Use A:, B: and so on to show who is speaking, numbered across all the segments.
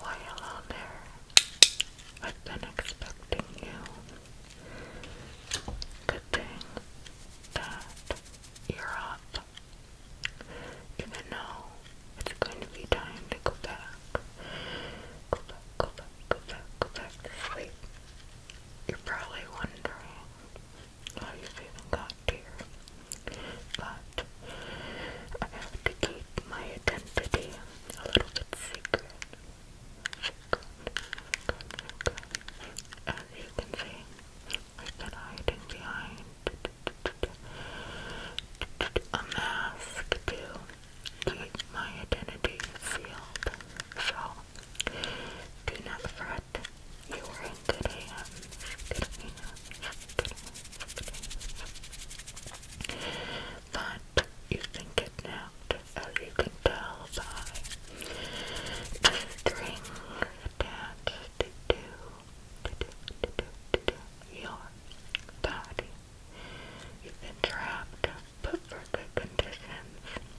A: While there, I've been expecting you. Good thing that you're up. Even though it's going to be time to go back. Go back, go back, go back, go back to You're probably wondering I even got here. But I have to keep my identity a little bit secret. As you can see, I've been hiding behind a mask to keep my identity sealed. So do not fret you are in good hands. Good hands. But you can get napped, as you can tell by the strings attached to, to, to, to, to, to your body. You've been trapped, but for good conditions.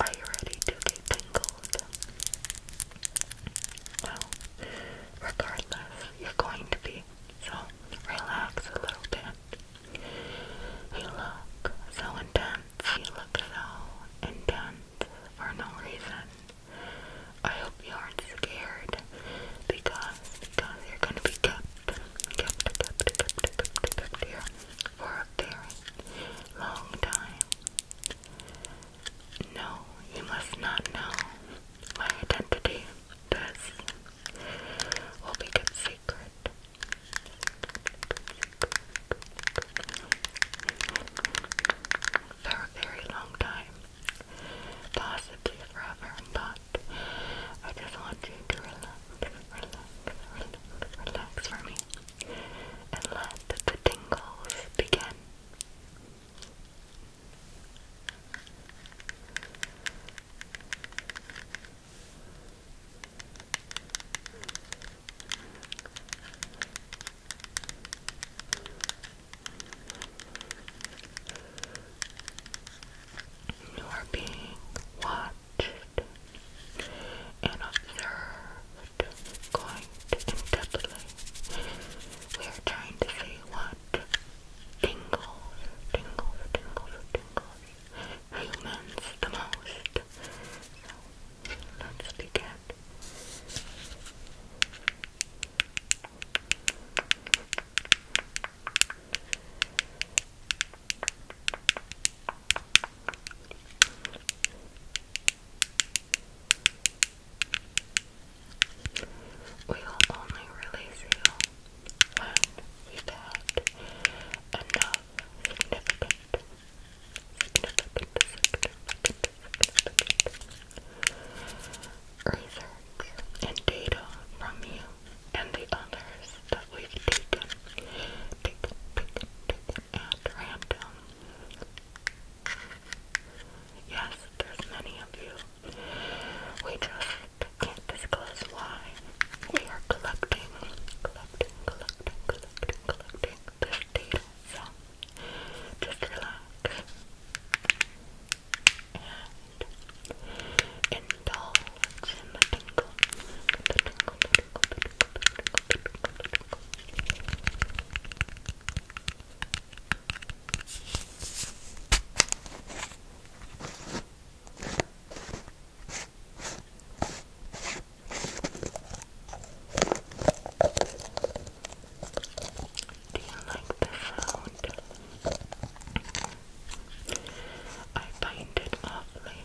A: Are you ready to get tingled? Well, regardless, you're going to be, so relax a little bit. You look so intense, you look so intense for no reason. I hope you aren't scared because you're gonna be kept kept kept kept kept kept here for a very long time. No, you must not know my identity. This will be kept secret. For a very long time, possibly forever, but I just want you to relax, relax, relax for me and let the tingles begin. You are being washed watched and observed quite intently. We are trying to see what tingles, tingles, tingles, tingles humans the most. So let's begin. We will only release you when we've had enough significant, significant, and data from you and the others we've taken, taken, taken, taken at random. Yes, there's many of you. We just can't disclose why. We are collecting, collecting, collecting, collecting, collecting this data. So, just relax. And indulge in the tingle, the tingle, the do you like the sound? I find it awfully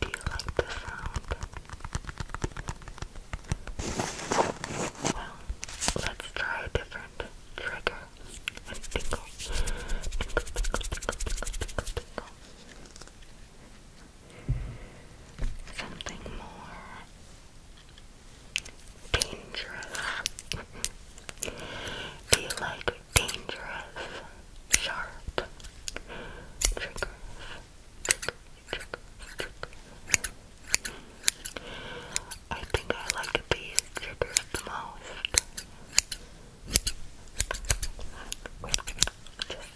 A: Do you like the sound? Well, let's try a different trigger tingle, tingle, tingle, tingle, tingle. Something more dangerous. Do you like dangerous, sharp triggers? I think I like these the most. Just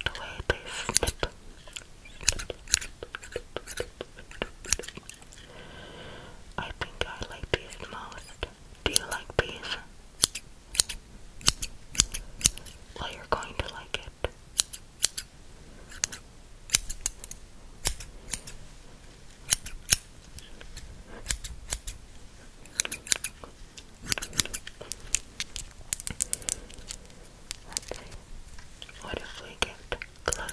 A: the way I think I like these most. Do you like bees? Well, you're going to like it. What if we get close?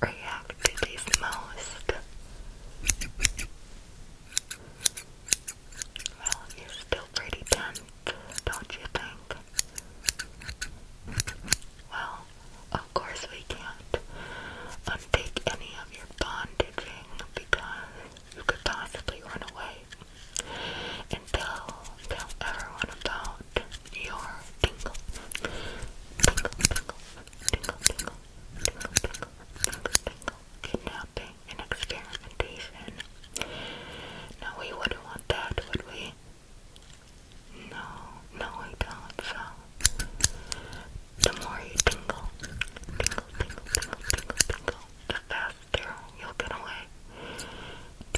A: react to these most? Well, you're still pretty dense, don't you think? Well, of course we can't unpick any of your bondaging because you could possibly run away and tell, tell everyone about your tingle. Tingle, tingle, tingle, tingle, kidnapping and experimentation. No, we wouldn't want that, would we? No, no, we don't. So, the more you tingle, tingle, tingle, tingle, tingle, tingle, the faster you'll get away.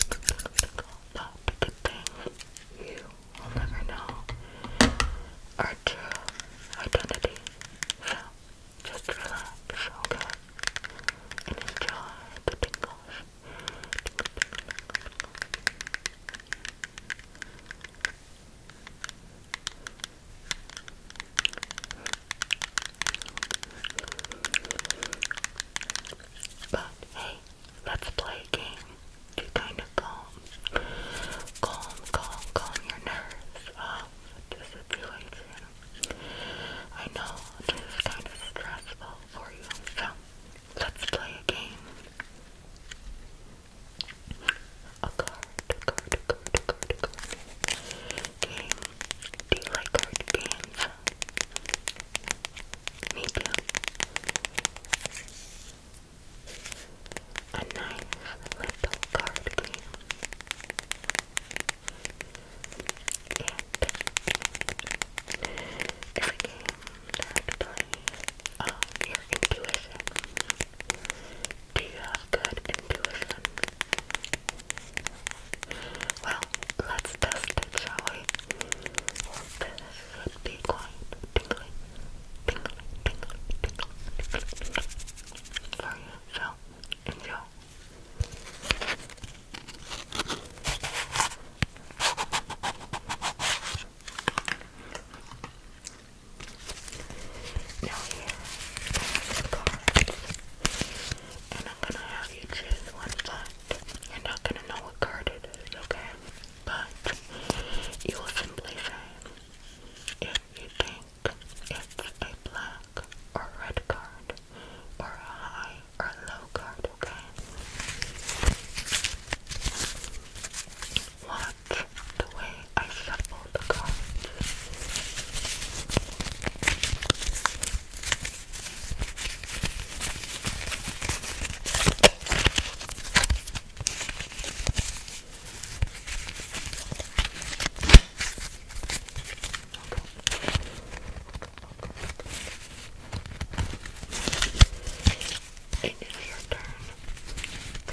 A: Tingle, tingle, tingle, but the thing, you we'll never know our true identity. So just relax, okay? And enjoy the tingles. Tingle, But hey, let's play a game to kind of calm, calm, calm, calm your nerves off the situation. I know this kind of stressful for you, so let's play a game. A card, a card, card, card, card. Game. Do you like card games? Me too a nice little card game. It is a game that plays on your intuition. Do you have good intuition? Well, let's test it, shall we? This should be quite for you. So, Now here are and I'm gonna have you choose one card. You're not gonna know what card it is, okay? but you simply say if you think it's a black or red card or a high or low card, okay? Watch the way I shuffle the cards. It is your turn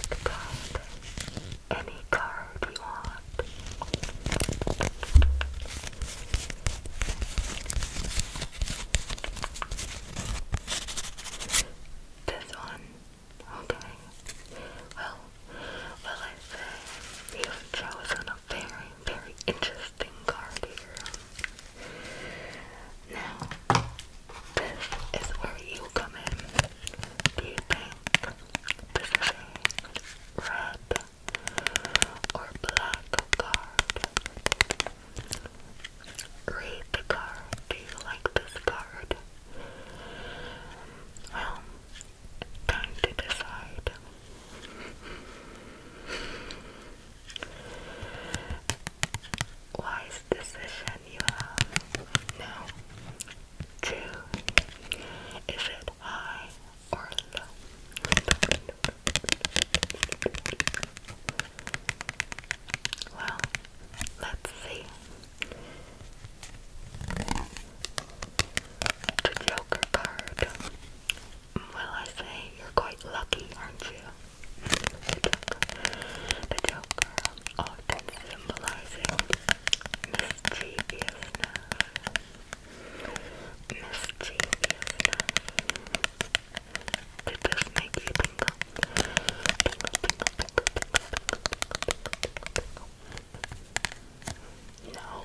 A: to card any card you want. This one. Okay. Well, well, I you've chosen a very, very interesting card here. Now, this is where you come in. Do you think this is a red or black card? Read the card. Do you like this card? Well, time to decide. Wise decision you have now. Two. Is it high or low? Well, let's see. The Joker card. Well, I say you're quite lucky, aren't you? The Joker. often oh, symbolizing mischievousness. Mischievousness. No.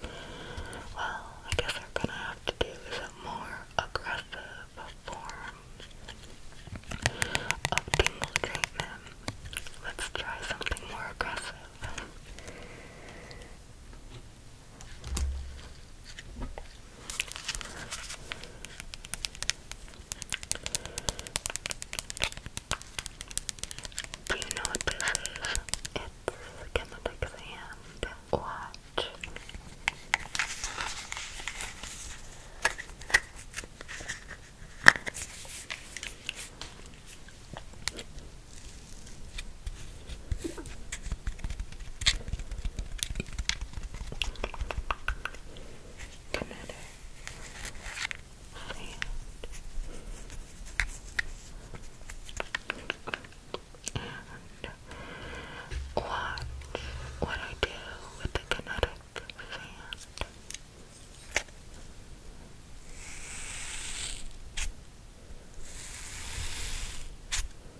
A: Well, I guess we're gonna have to do some more aggressive forms of treatment. Let's try something more aggressive. Do you know what this is? It's Chemitex and Watch. Another hand. And watch what I do with the kinetic sand.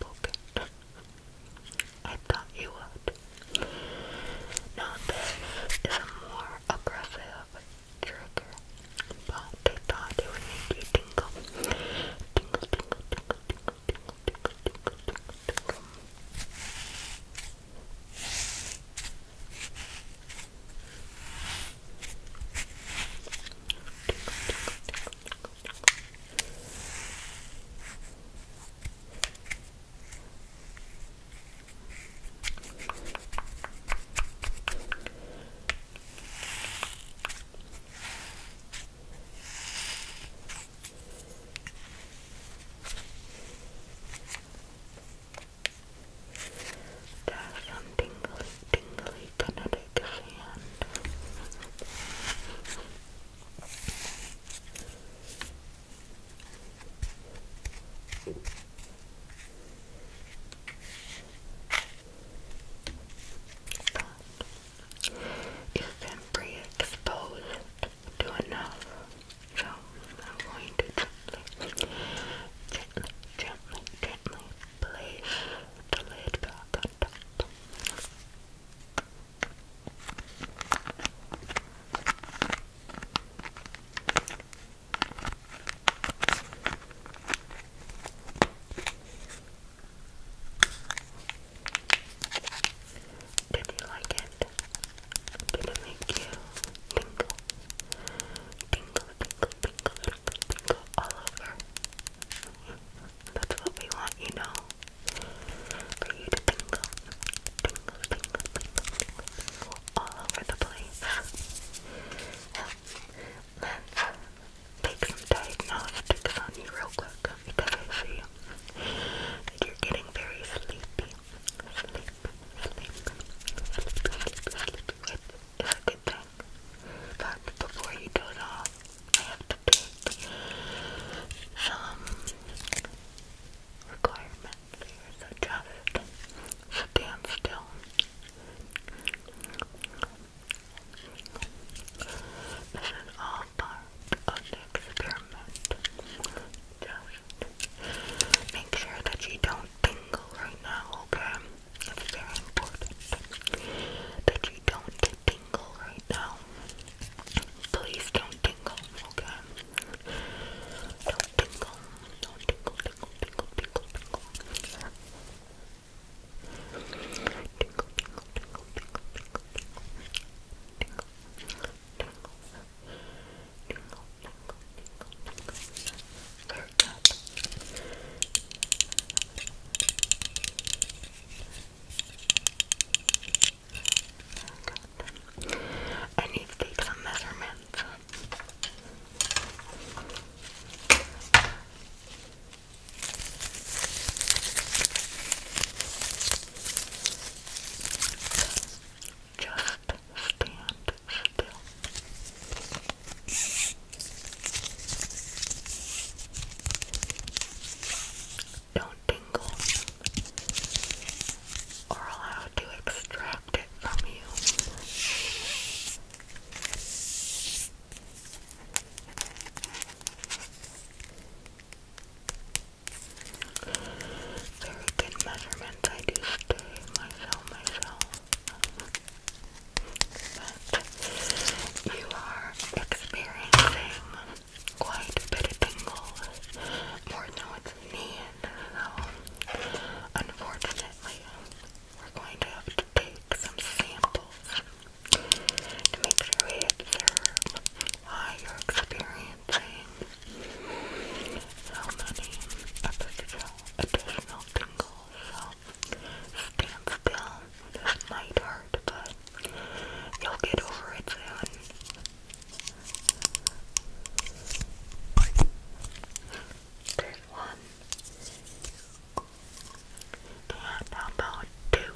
A: pocket, I thought you would. Now this is more aggressive trigger, but I thought it you tingle, tingle, tingle, tingle, tingle, tingle, tingle, tingle, tingle. There's some tingly, tingly, kinetic sand. But you can to enough. So I'm going to gently, gently, gently place Did you like it? Did it make you tingle? Tingle, tingle, tingle, people all over. That's what we want, you know. For you to tingle, tingle, tingle, tingle, tingle all over the place. Well, let's take some diagnostics on you real quick because I see that you're getting very sleepy. Sleep, sleep, sleep, sleep, sleep, sleep. It's a good time but before you do it all, I have to pick some requirements here. So just stand still. This is all part of the experiment. Just make sure that you don't tingle right now, okay? It's very important that you don't tingle right now. Please don't tingle, okay? Don't tingle. Don't tingle, tingle, tingle, tingle, tingle. Tingle, tingle, tingle, tingle, tingle, tingle. Tingle, tingle, tingle, tingle, tingle, tingle. I need some measurements. Just stand still. Don't tingle, or allow to extract it from you. Very good measurements. I do stay myself myself you are experiencing quite a bit of tingles, more than what's unfortunately we're going to have to take some samples to make sure we you're experiencing so additional, additional tingles so stand still. This might hurt, but you'll get over it soon. one. And about two?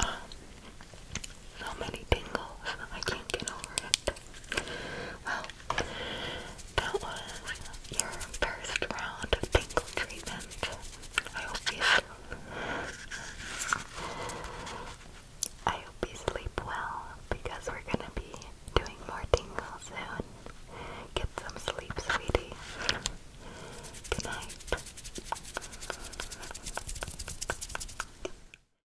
A: Um, so many tingles. I can't get over it. Well, that was your first round of tingle treatment. I hope you I hope you sleep well because we're gonna be doing more tingles soon. Get some sleep, sweetie. Good night.